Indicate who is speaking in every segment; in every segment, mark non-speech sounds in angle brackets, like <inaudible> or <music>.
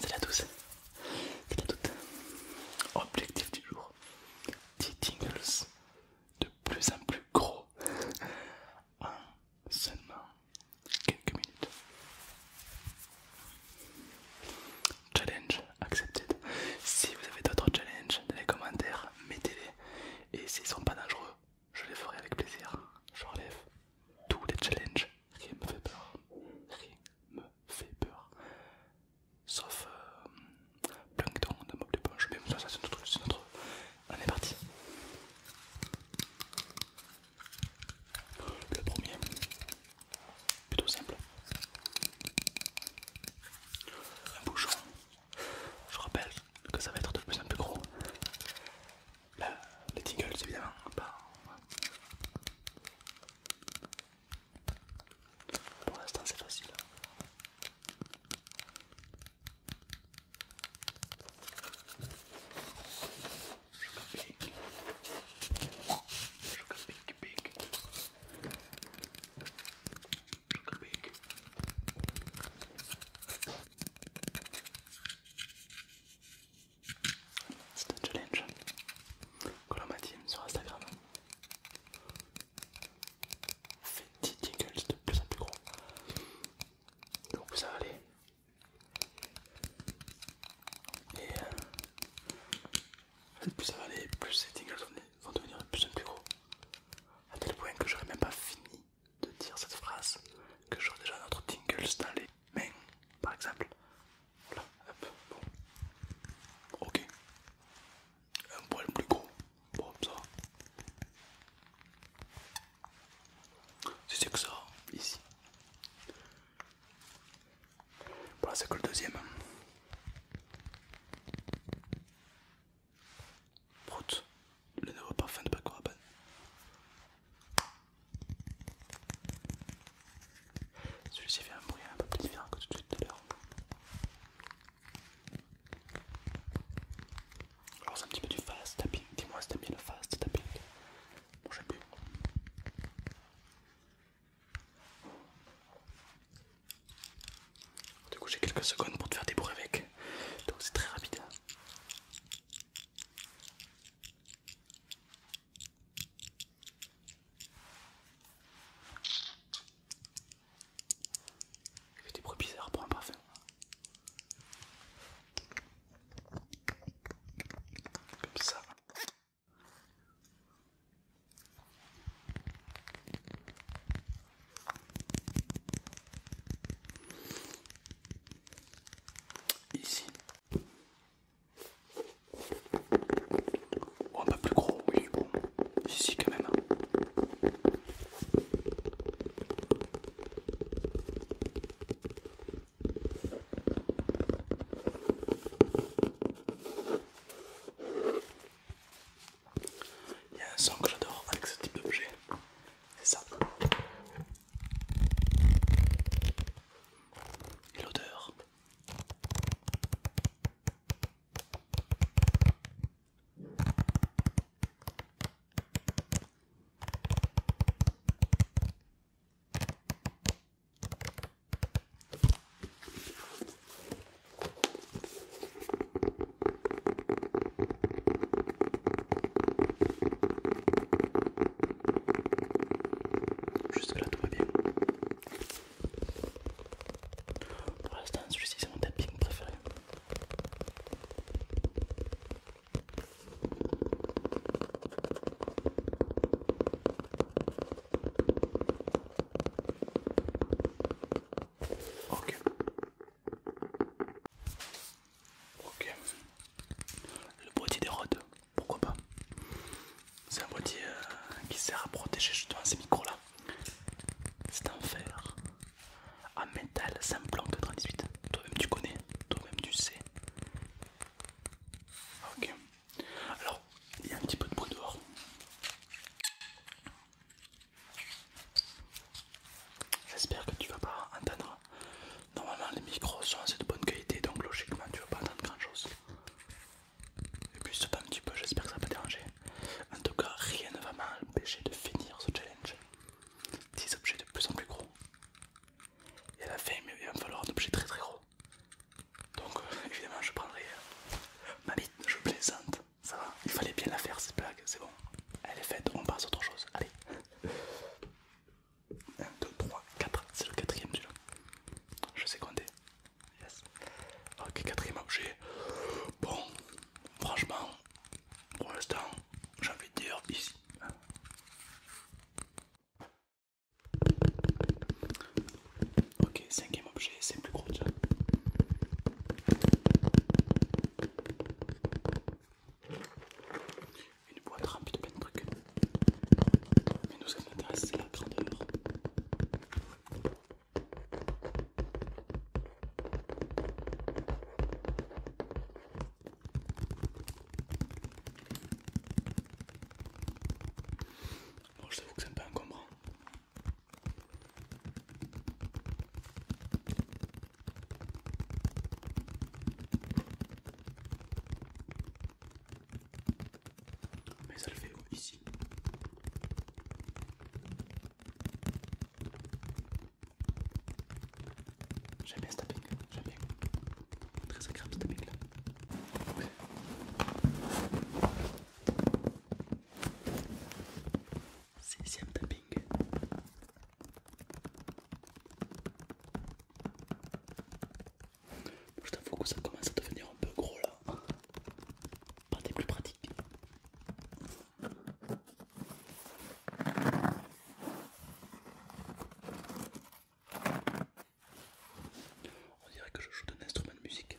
Speaker 1: C'est la douce. C'est la toutes Objectif du jour. Des tingles de plus en plus gros en seulement quelques minutes. Challenge accepted. Si vous avez d'autres challenges dans les commentaires, mettez-les. Et s'ils sont pas dangereux, je les ferai avec plaisir. Je relève tous les challenges rien me fait peur, rien me fait peur. Sauf euh, Plankton plancton d'un meuble de mais ça c'est notre, c'est notre. On est parti. Le premier, plutôt simple. Un bouchon. Je rappelle que ça va être de plus en plus gros les tingles évidemment. Bah, Pour l'instant c'est facile. C'est un challenge que l'on m'a dit sur Instagram. Fait 10 tingles de plus en plus gros. Donc ça va aller. Et euh, plus ça va aller, plus ces tingles vont devenir de plus en plus gros. A tel point que j'aurais même pas fini de dire cette phrase que j'aurais déjà notre tingles dans les mais par exemple. Voilà, hop, bon. Ok. Un poil plus gros. Bon, ça. C'est que ça, ici. Voilà, c'est que le deuxième. Prout, le nouveau parfum de Paco Rabanne. Celui-ci fait un bruit un peu plus différent que tout de suite tout à l'heure. Alors c'est un petit peu du fast tapping, dis-moi si t'aimes bien le fast tapping. Bon j'ai bien. Du coup j'ai quelques secondes pour te faire des bruits avec, donc c'est très rapide. C'était fait bizarre, pour un parfum. Comme ça. Ici, Oh, un peu plus gros, oui, bon, ici quand même. Il y a un son que j'adore avec ce type d'objet, c'est ça l'odeur. Jusque là tout va bien. Pour l'instant celui-ci c'est mon tapping préféré. Ok. Ok. Le petit des rods pourquoi pas. C'est un boîtier euh, qui sert à protéger justement ces micros là. C'est un fer, en métal simple en 98. Toi-même tu connais, toi-même tu sais. Ok. Alors, il y a un petit peu de bruit dehors. J'espère que tu vas pas entendre Normalement les micros sont assez de bonne qualité donc logiquement tu vas pas entendre grand chose. Et puis c'est un petit peu, j'espère que ça va pas déranger. En tout cas rien ne va m'empêcher de finir ce challenge. 10 objets de plus en plus gros. Et à la fin il va me falloir un objet très très gros. Donc euh, <laughs> évidemment je prendrai euh, ma bite, je plaisante. Ça va, il fallait bien la faire cette blague, c'est bon. Elle est faite, on passe à autre chose. Allez. 1, 2, 3, 4, c'est le quatrième celui-là. Je sais compter. Yes. Ok, quatrième objet. Bon, franchement, pour l'instant, j'ai envie de dire ici. Ok, cinquième objet, c'est plus gros déjà une boîte remplie de plein de trucs. Mais nous, ce qui nous intéresse, c'est la grandeur. Bon, je t'avoue que c'est un peu encombrant. Mais ça le fait ici. J'aime bien ce taping, j'aime bien. Très agréable ce taping là. Sixième tapping. Je t'avoue que ça commence à devenir un peu gros là. Pas des plus pratiques. On dirait que je joue d'un instrument de musique.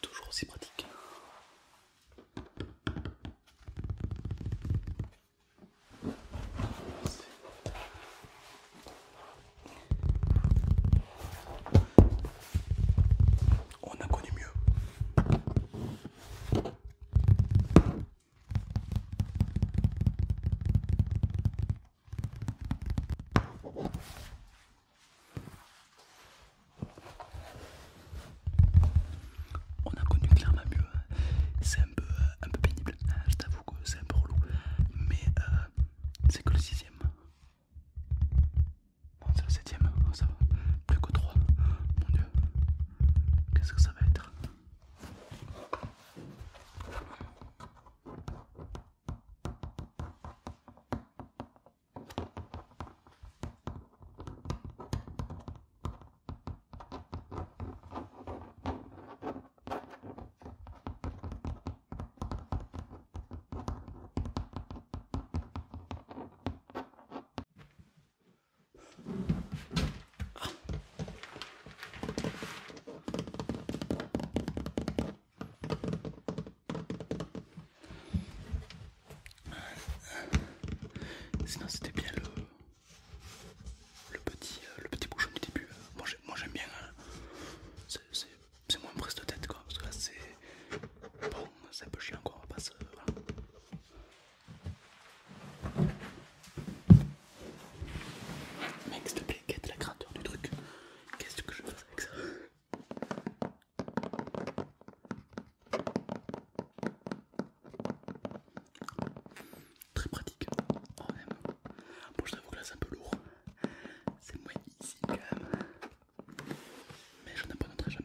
Speaker 1: Toujours aussi pratique. On a connu mieux. On a connu clairement mieux. C'est un peu, euh, un peu pénible. Hein, je t'avoue que c'est un peu relou. Mais euh, c'est que le sixième. Bon, c'est la septième, oh, ça va. Plus que 3. Mon dieu. Qu'est-ce que ça va être Sinon c'était bien le, le petit euh, le petit bouchon du début. Hein. Moi j'aime bien. Hein. C'est c'est moins prise de tête quoi, parce que là c'est bon, c'est un peu chiant quoi, on va pas se... Mec, s'il te plaît, la grandeur du truc. Qu'est-ce que je faire avec ça Très pratique, même. Bon, oh, je t'avoue que là c'est un peu lourd, c'est moins mais je apprendrai jamais.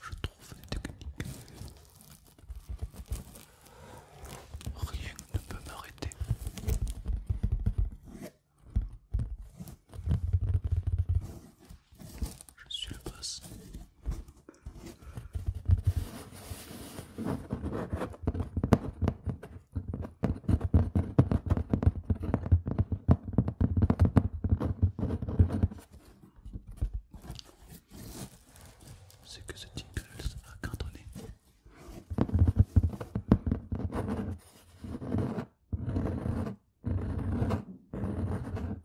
Speaker 1: Je trouve une technique. Rien ne peut m'arrêter. Je suis le boss. C'est que ce type va cantonné.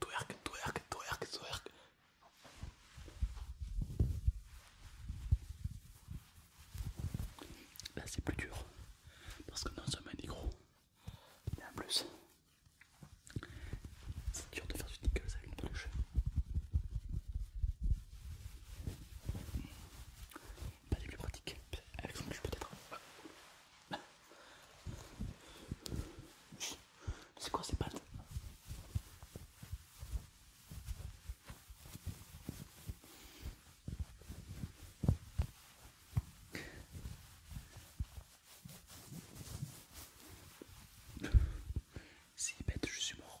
Speaker 1: Twerk, twerk, twerk, twerk. Là c'est plus dur parce que non seulement il est mais en plus c'est dur de faire du sneakers avec une peluche pas les plus pratiques avec son cul peut-être c'est quoi ces pattes c'est bête, je suis mort.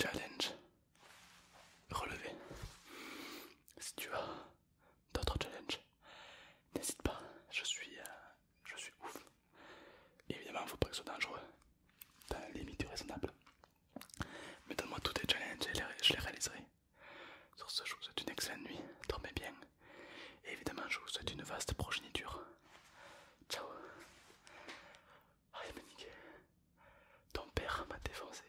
Speaker 1: challenge relevé. Si tu as d'autres challenges, n'hésite pas, je suis, euh, je suis ouf. Évidemment, il faut pas que ce soit dangereux, dans la limite raisonnable. Mais donne-moi tous tes challenges et je les réaliserai. Sur ce, je vous souhaite une excellente nuit, dormez bien. Et évidemment, je vous souhaite une vaste progéniture. Ciao ah, il Ton père m'a défoncé.